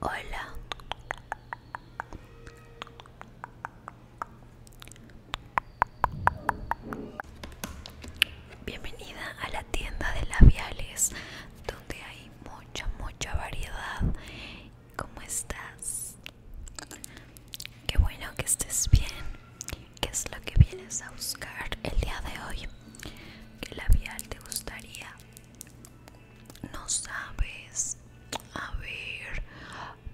hola. Bienvenida a la tienda de labiales donde hay mucha mucha variedad ¿Cómo estás? Qué bueno que estés bien. ¿Qué es lo que vienes a buscar el día de hoy? ¿Qué labial te gustaría? No sabes. A ver,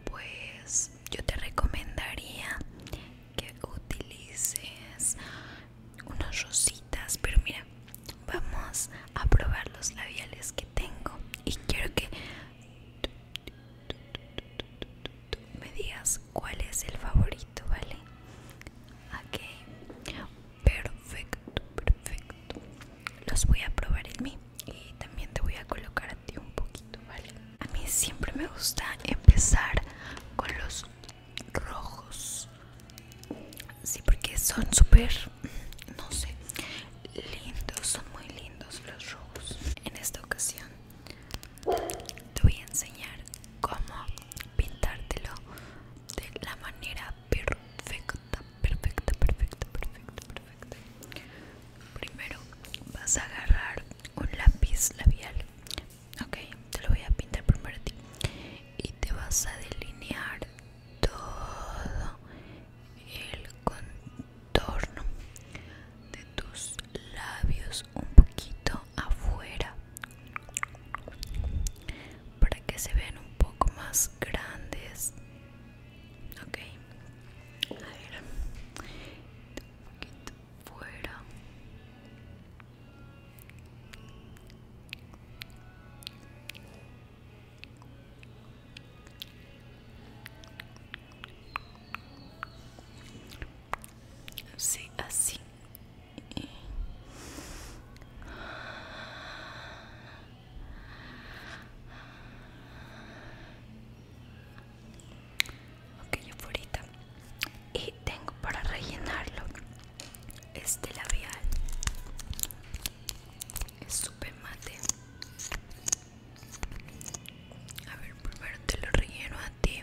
pues yo te recomendaría que utilices unas rositas, pero mira, vamos a probar los labiales que tengo y quiero que me digas cuál es el favorito, ¿vale? Ok, perfecto, perfecto. Los voy a probar en mí y también te voy a colocar a ti un poquito, ¿vale? A mí siempre me gusta empezar con los rojos. Sí, porque son súper, no sé, lindos, son muy lindos los rojos. En esta ocasión te voy a enseñar cómo pintártelo de la manera perfecta, perfecto perfecto perfecto perfecto Primero vas a agarrar un lápiz labial, ok, te lo voy a pintar primero y te vas a delinear todo el contorno de tus labios un poquito afuera para que se vean un poco más grandes ok a ver un poquito fuera Sí, así. Ok, ahorita. Y tengo para rellenarlo este labial es súper mate a ver primero te lo relleno a ti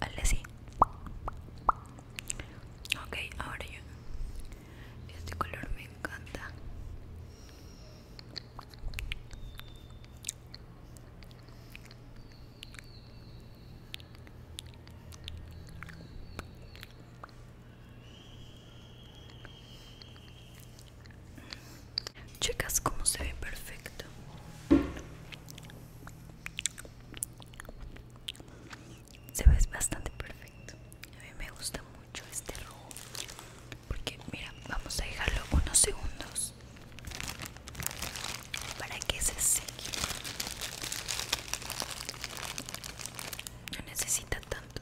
Hazle así Ok, ahora yo Este color me encanta Chicas, cómo se ve perfecto. Se ve bastante perfecto. A mí me gusta mucho este rojo porque mira vamos a dejarlo unos segundos para que se seque no necesita tanto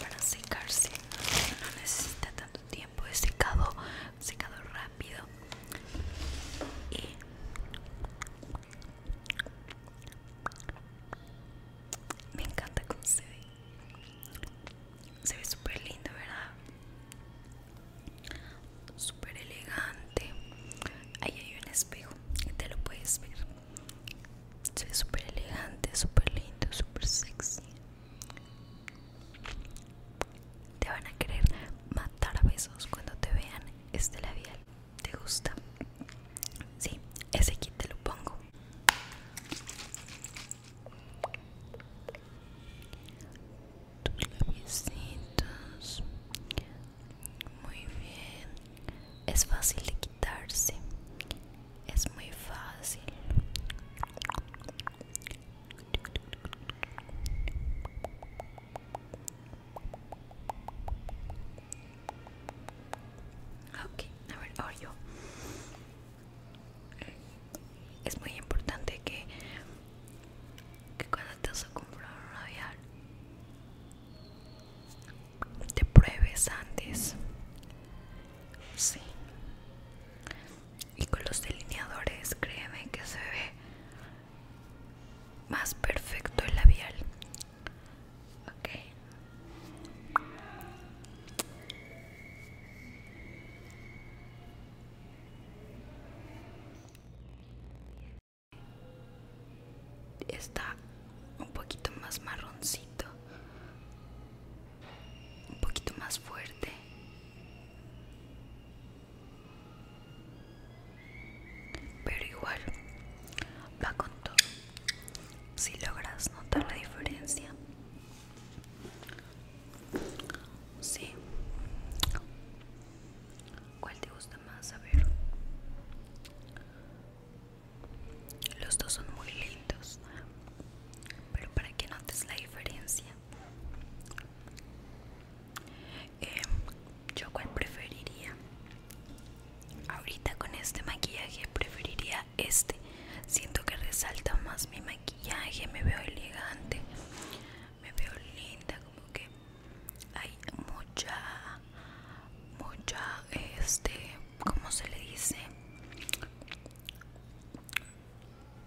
para secarse no necesita tanto tiempo de secado secado rápido me encanta con se se ve súper lindo, ¿verdad? Súper elegante. Ahí hay un espejo, te lo puedes ver. Se ve súper elegante, super lindo, super sexy. Te van a querer matar a besos cuando te vean este labial. ¿Te gusta? Sí, ese kit te lo pongo tus labiecitos muy bien es fácil de quitarse es muy fácil ok a ver ahora yo es muy importante que, que cuando vas a comprar un labial te pruebes antes sí y con los delineadores créeme que se ve más perfecto el labial ok Está un poquito más marroncito, un poquito más fuerte. Pero igual va con todo. Si logras notar la diferencia, Sí. ¿Cuál te gusta más? A ver. Los dos son muy lindos. Pero para que notes la diferencia. Em, yo cuál preferiría. Ahorita con este maquillaje preferiría este siento que resalta más mi maquillaje me veo elegante me veo linda como que hay mucha mucha este como se le dice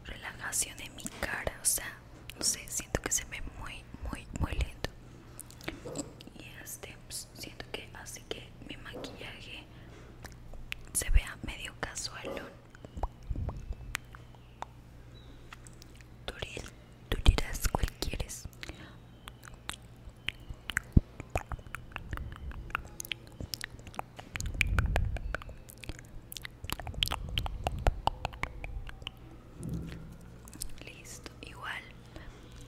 relajación en mi cara o sea no sé siento que se ve muy muy muy lindo y este pues, siento que que mi maquillaje se vea medio casual Tú, tú dirás cuál quieres. Listo, igual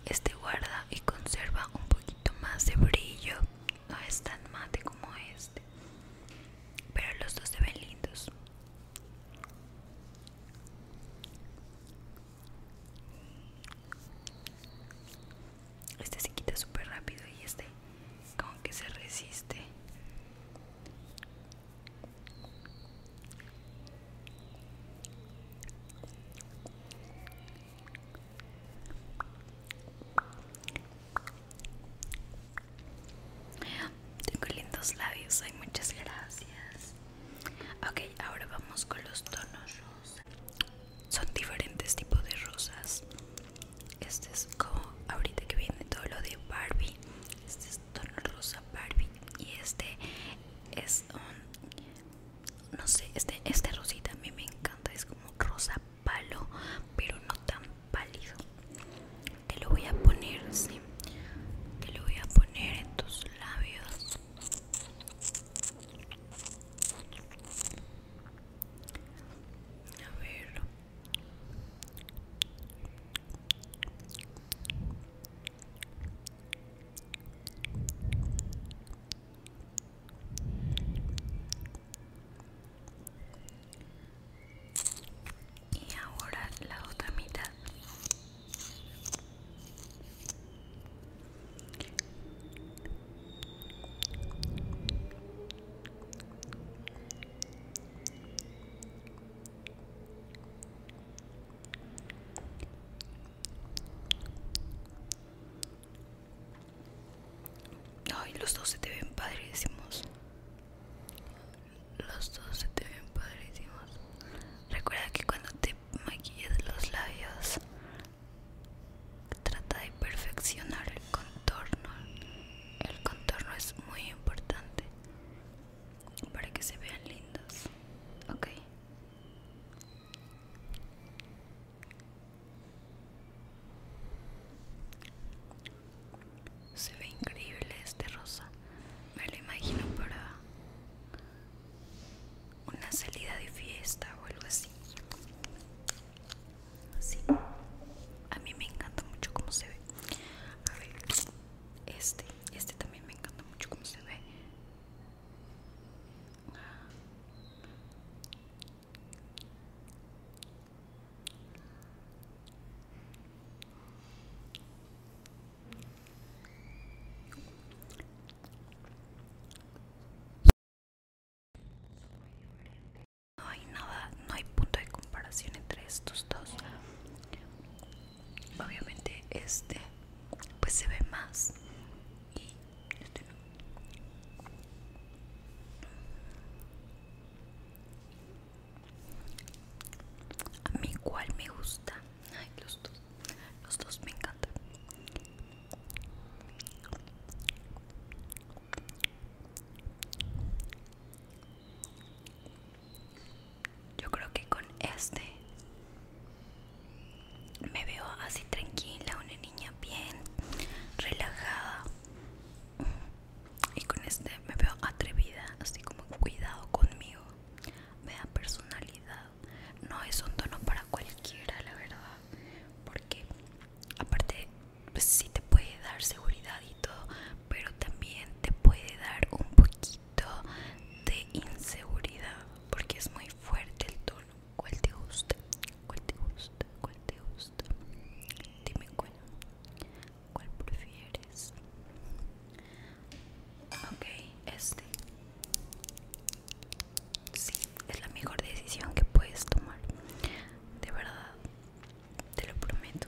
este guarda y conserva un poquito más de brillo no es tan mate como este pero los dos se ven lindos este se quita súper rápido y este como que se resiste tengo lindos labios, hay muchas gracias. Ok, ahora vamos con los tonos Son diferentes tipos de rosas. Este es como ahorita que viene todo lo de Barbie. Este es tono rosa Barbie. Y este es un... No sé, este, este rosita a mí me encanta. Es como rosa palo, pero no tan pálido. Te lo voy a poner, sí. Te lo voy a poner en tus labios. A ver y ahora la otra mitad Ay, los dos se te ven padrísimos. Los dos se te ven padrísimos. Recuerda que cuando te maquilles los labios, trata de perfeccionar el contorno. El contorno es muy importante para que se vean lindos. Ok. Se ve increíble este rosa. Me lo imagino para una salida de fiesta o algo así. Así A mí me encanta mucho como se ve. A ver, este, este también me encanta mucho como se ve. No hay nada, no hay punto de comparación entre estos dos. Obviamente este pues se ve más y a mi cual me gusta. Ay, los dos. Los dos me encantan. Yo creo que con este me veo así tranquila, una niña bien relajada y con este me veo atrevida así como cuidado conmigo me da personalidad no es un tono para cualquiera la verdad porque aparte si pues sí te puede dar seguridad y todo pero también te puede dar un poquito de inseguridad porque es muy fuerte el tono cuál te gusta cuál te gusta ¿Cuál te gusta? Dime cuál. ¿Cuál prefieres? Ok, este. Sí, es la mejor decisión que puedes tomar. De verdad, te lo prometo.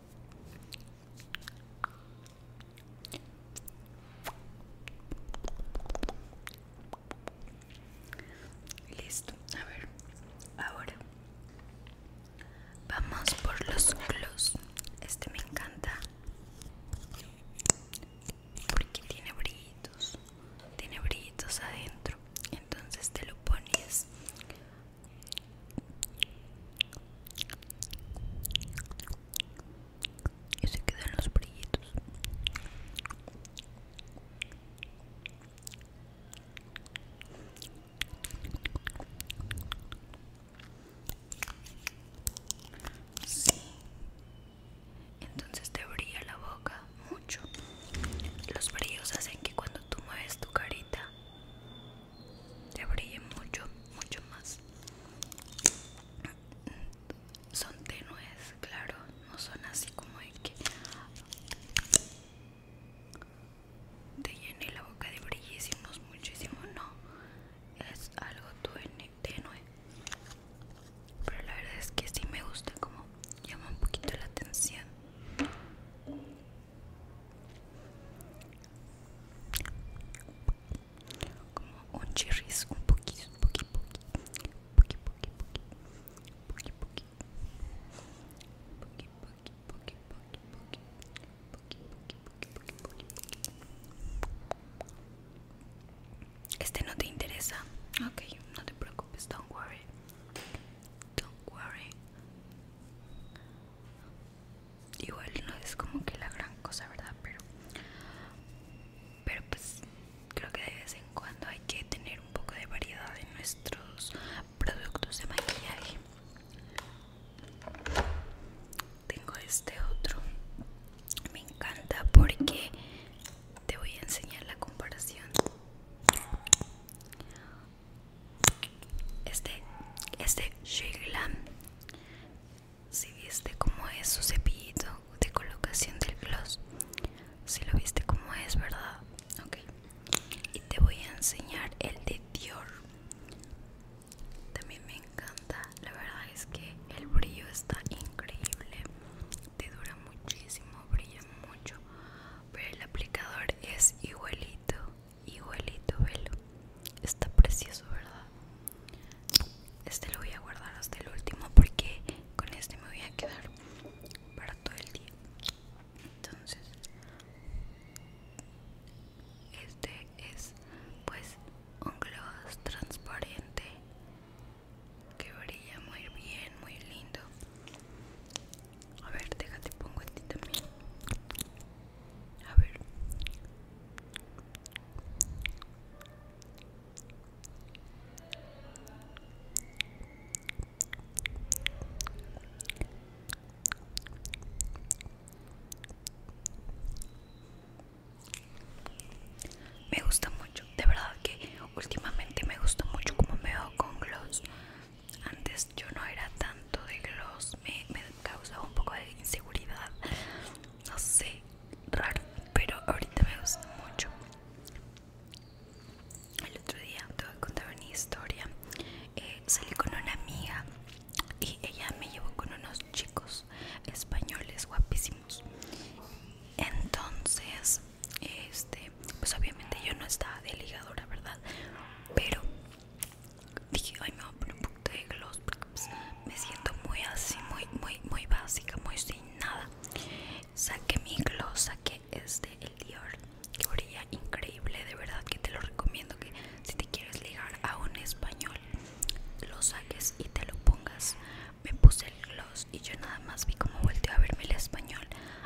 Listo, a ver, ahora vamos por los gloss. Este me encanta porque tiene brillitos, tiene brillitos adentro. Entonces te lo pones y se quedan los brillitos entonces te brilla la boca mucho los brillos hacen que cuando tú mueves tu carita te brille mucho, mucho más. Son tenues, claro, no son así como de que te llene la boca de brillísimos, muchísimo, no. Es algo tenue. Pero la verdad es que sí me gusta como llama un poquito la atención como un un poquito un poquito este no te interesa ok no te preocupes don't worry don't igual no es como que la gran cosa verdad pero pero pues creo que de vez en cuando hay que tener un poco de variedad en nuestros productos de maquillaje tengo este otro me encanta porque te voy a enseñar la comparación este este Glam si viste cómo es su cepillito de colocación del gloss si lo viste como es verdad ok y te voy a enseñar el de Dior también me encanta la verdad es que el brillo está increíble te dura muchísimo brilla mucho pero el aplicador es igualito Igualito, velo. Está precioso, ¿verdad? Este lo voy a guardar hasta el último porque con este me voy a quedar para todo el día. Entonces, este es pues un gloss transparente que brilla muy bien, muy lindo. A ver, déjate pongo este también. A ver. Me gusta mucho, de verdad que últimamente me gusta mucho como me veo con gloss. Antes yo no era tan de gloss me, causa un poco de inseguridad no sé raro pero ahorita me gusta mucho el otro día te voy contar una historia eh, salí con una amiga y ella me llevó con unos chicos españoles guapísimos entonces este pues obviamente yo no estaba de ligadora verdad pero dije ay me voy a poner un poquito de gloss pues, me siento muy así muy muy muy básica muy sin nada saqué mi gloss saqué este el Dior que orilla increíble de verdad que te lo recomiendo que si te quieres ligar a un español lo saques y te lo pongas me puse el gloss y yo nada más vi como volteó a verme el español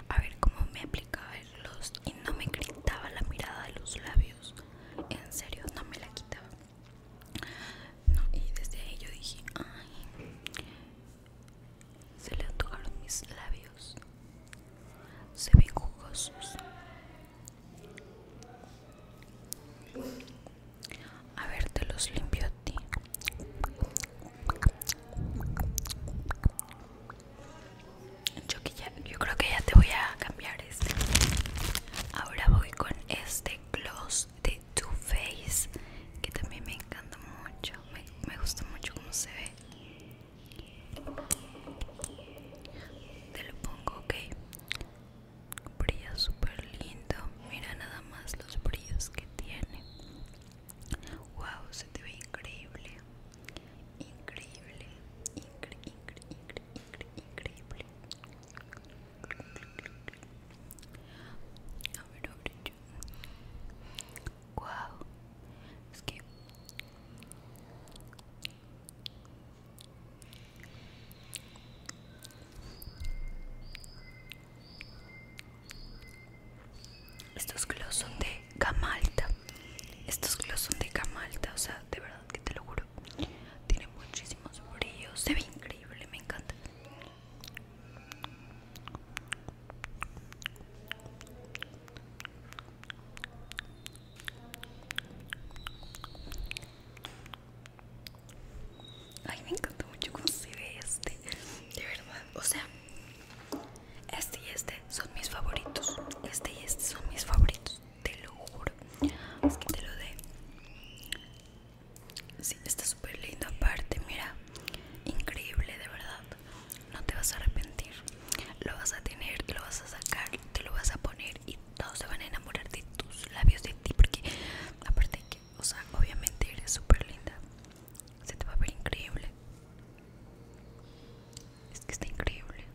a ver cómo me aplicaba el gloss y no me gritaba la mirada de los labios en serio no me la quitaba y desde ahí yo dije ay se le antojaron mis labios se ven jugosos a ver te los limpio a ti yo creo que ya te voy a cambiar ahora voy con este gloss de Too Faced que también me encanta mucho me, gusta mucho cómo se ve te lo pongo ok brilla súper lindo mira nada más los brillos que tiene wow se te ve increíble increíble Increíble increíble a Wow. Es que estos gloss son de camalta Estos glos son de camalta o sea, de verdad que te lo juro tiene muchísimos brillos se ve increíble me encanta Ay, me encanta mucho cómo se ve este. De verdad, o sea, este y este son mis favoritos. Este y este son mis favoritos te lo juro. Es que te lo dé. Sí, está súper lindo aparte, mira. Increíble, de verdad. No te vas a arrepentir. Lo vas a tener, lo vas a sacar, te lo vas a poner y todos se van a enamorar de tus labios, de ti, porque aparte que, o sea, obviamente eres súper linda. Se te va a ver increíble. Es que está increíble.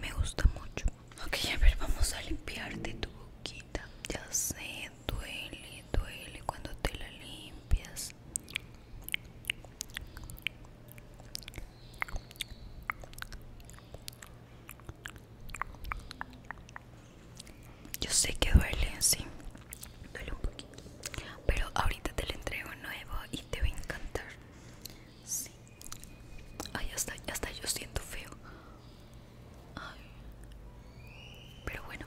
Me gusta mucho. Ok, a ver, vamos a limpiarte tu boquita. Ya sé, duele, duele cuando te la limpias. Yo sé que duele, sí duele un poquito pero ahorita te lo entrego nuevo y te va a encantar si ay hasta está yo siento feo pero bueno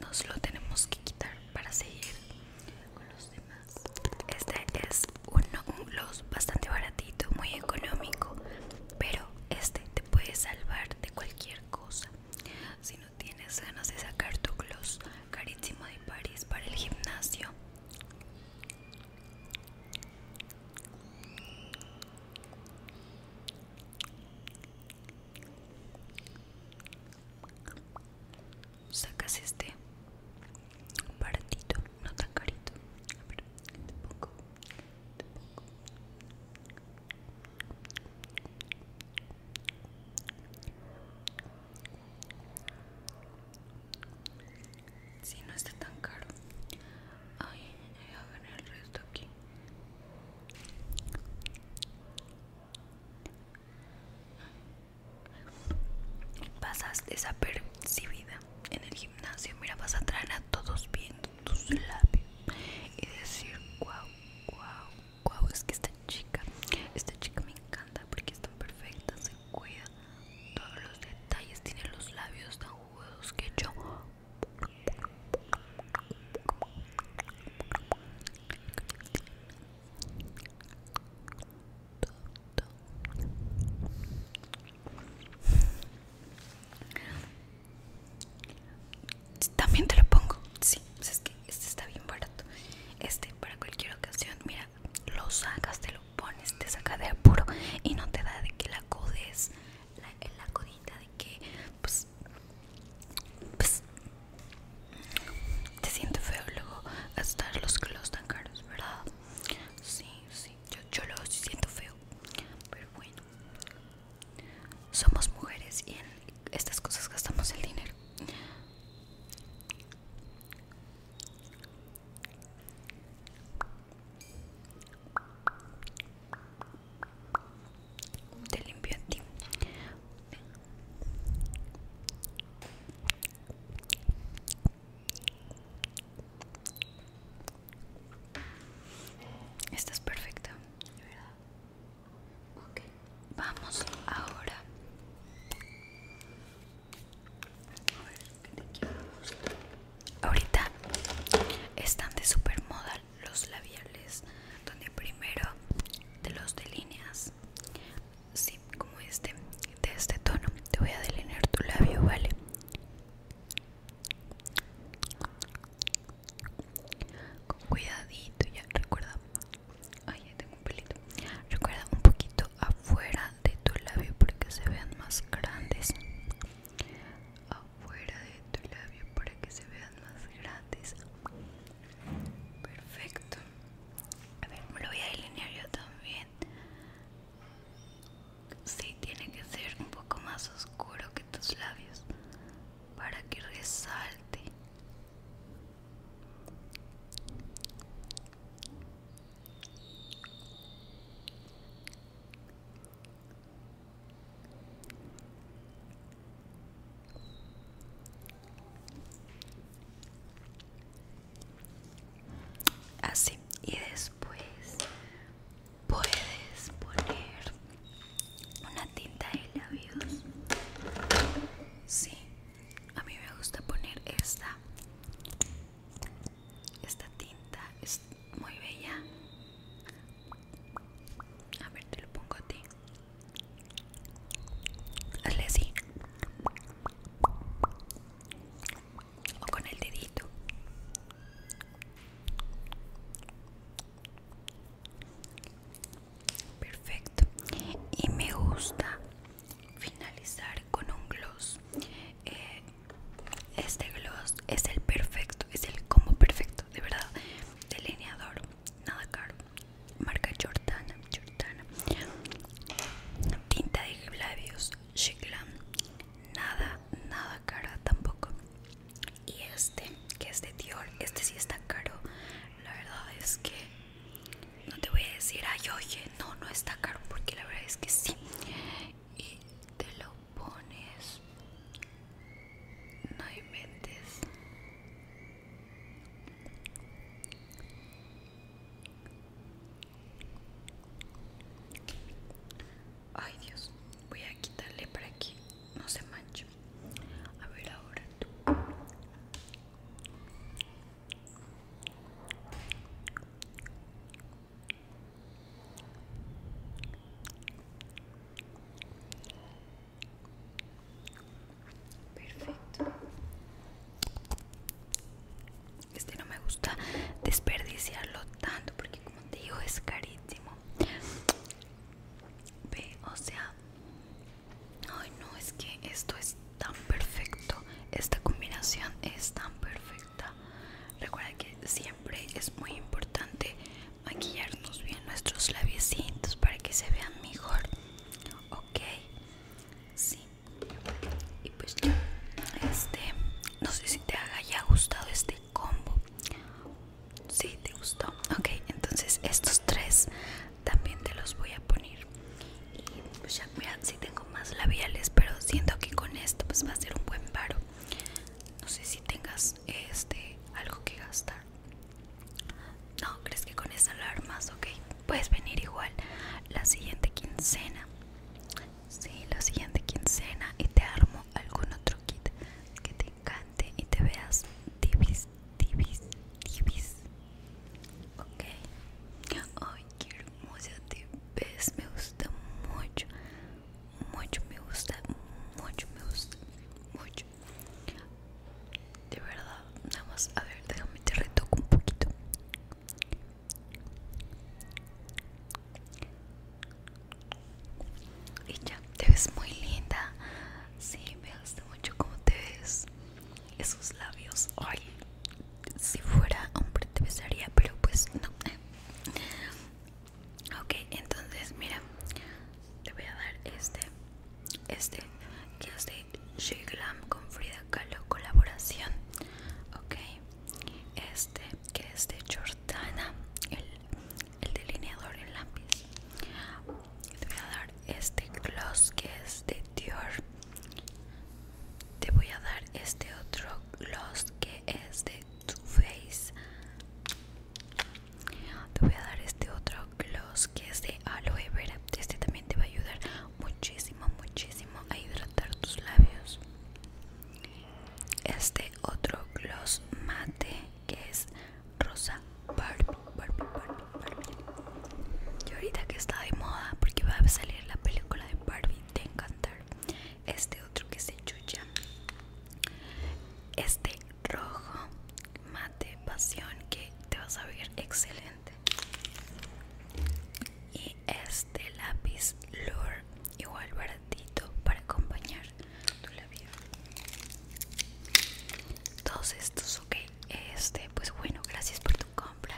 nos lo tenemos que quitar para seguir con los demás este es un, los gloss bastante baratito muy económico pero este te puede salvar de cualquier cosa si tienes ganas de sacar tu gloss carísimo de París para el gimnasio. Sacas este partito, no tan carito. Si no está tan caro. Ay, voy a ver el resto aquí. Pasas desapercibida en el gimnasio. Mira, vas a traer a todos viendo tus labios y decir, guau, guau wow, es que esta chica, esta chica me encanta porque está perfecta, se cuida todos los detalles, tiene los labios tan jugosos que yo también te lo pongo. Sí, es que este está bien barato. Este para cualquier ocasión. Mira, lo sacas, te lo pones, te saca de apuro y no te da de que la codes, la, la codita de que pues, pues te siente feo luego hasta los clothes tan caros, ¿verdad? Sí, sí, yo, yo lo siento feo. Pero bueno, somos mujeres y en estas cosas gastamos el dinero te limpio a ti estás perfecta Ok, vamos ahora. A ver, te Ahorita están de super moda los labiales, donde primero de los delineas, sí, como este, de este tono. Te voy a delinear tu labio, ¿vale? Con cuidadito, ya recuerda Ay, ya tengo un pelito. Recuerda un poquito afuera de tu labio para que se vean más grandes. Afuera de tu labio para que se vean más grandes. Perfecto. A ver, me lo voy a delinear yo también. Sí, tiene que ser un poco más oscuro que tus labios para que resalte así y después puedes poner una tinta de labios sí a mí me gusta poner esta esta tinta es muy bella a ver te lo pongo a ti hazle así o con el dedito perfecto y me gusta finalizar con un gloss eh, este gloss es el perfecto es el como perfecto de verdad delineador nada caro marca Jordana Jordana tinta de labios nada nada cara tampoco y este que es de Dior este sí está caro la verdad es que no te voy a decir, ay, oye, no, no está caro, porque la verdad es que sí. Y te lo pones, no inventes. Ay, Dios, voy a quitarle para aquí no se manche. A ver, ahora tú. Perfecto. Este no me gusta desperdiciarlo tanto porque como te digo es carísimo. Ve, o sea, Ay no, es que esto es tan perfecto. Esta combinación es tan perfecta. Recuerda que siempre es muy importante maquillarnos bien nuestros labiecitos para que se vean mejor. Ok. Sí. Y pues Este. No sé si te haya gustado este combo. Sí, te gustó. Ok, entonces estos tres también te los voy a poner y pues ya mira si tengo más labiales pero siento que con esto pues va a ser un buen paro no sé si tengas este algo que gastar no crees que con esta armas? ok puedes venir igual la siguiente quincena sí la siguiente quincena y te armo algún otro kit que te encante y te veas Difícil divis, divis. Ok. Ay, qué hermosa te ves. Me gusta mucho. Mucho me gusta. Mucho me gusta. Mucho. De verdad. Nada más. A ver, déjame te retoco un poquito. Y ya, te ves muy linda. Sí, me gusta mucho cómo te ves esos labios ay si fuera hombre te besaría pero pues no ok entonces mira te voy a dar este este que es de She con Frida Kahlo colaboración ok este que es de Jordana el, el delineador En lápiz te voy a dar este gloss que es de Dior te voy a dar este otro gloss que es de Too Faced te voy a dar este otro gloss que es de aloe vera este también te va a ayudar muchísimo muchísimo a hidratar tus labios este otro gloss mate que es rosa Barbie, Barbie, Barbie, y ahorita que está de moda, porque va a salir la película de Barbie, te encantar. Este otro que se chucha. Este rojo mate pasión que te vas a ver excelente. Y este lápiz lure igual baratito para acompañar tu labio. Todos estos, ok, este pues bueno gracias por tu compra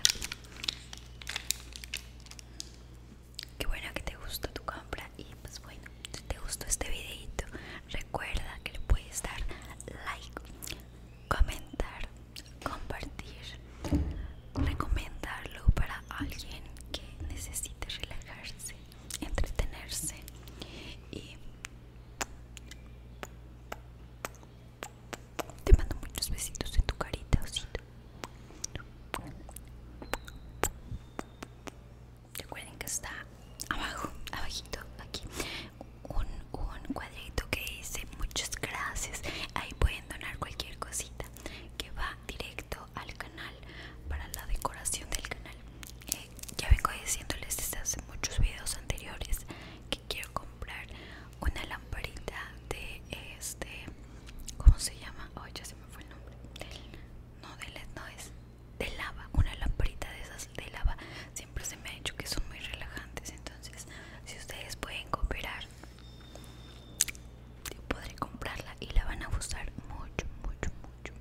qué bueno que te gustó tu compra y pues bueno si te gustó este videito recuerda que le puedes dar like comentar compartir recomendarlo para alguien que necesite relajarse entretenerse y te mando muchos besitos en tu carita, osito. Recuerden que está abajo, abajito, aquí, un, cuadrito que dice muchas gracias. Ahí pueden donar cualquier cosita que va directo al canal para la decoración del canal. Eh, ya vengo diciéndoles desde hace muchos videos anteriores que quiero comprar una lamparita de este ¿cómo se llama? Ay, ya se me fue el nombre no de LED no es de lava una lamparita de esas de lava siempre se me ha dicho que son muy relajantes entonces si ustedes pueden cooperar yo podré comprarla y la van a gustar mucho mucho mucho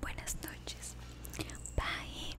buenas noches bye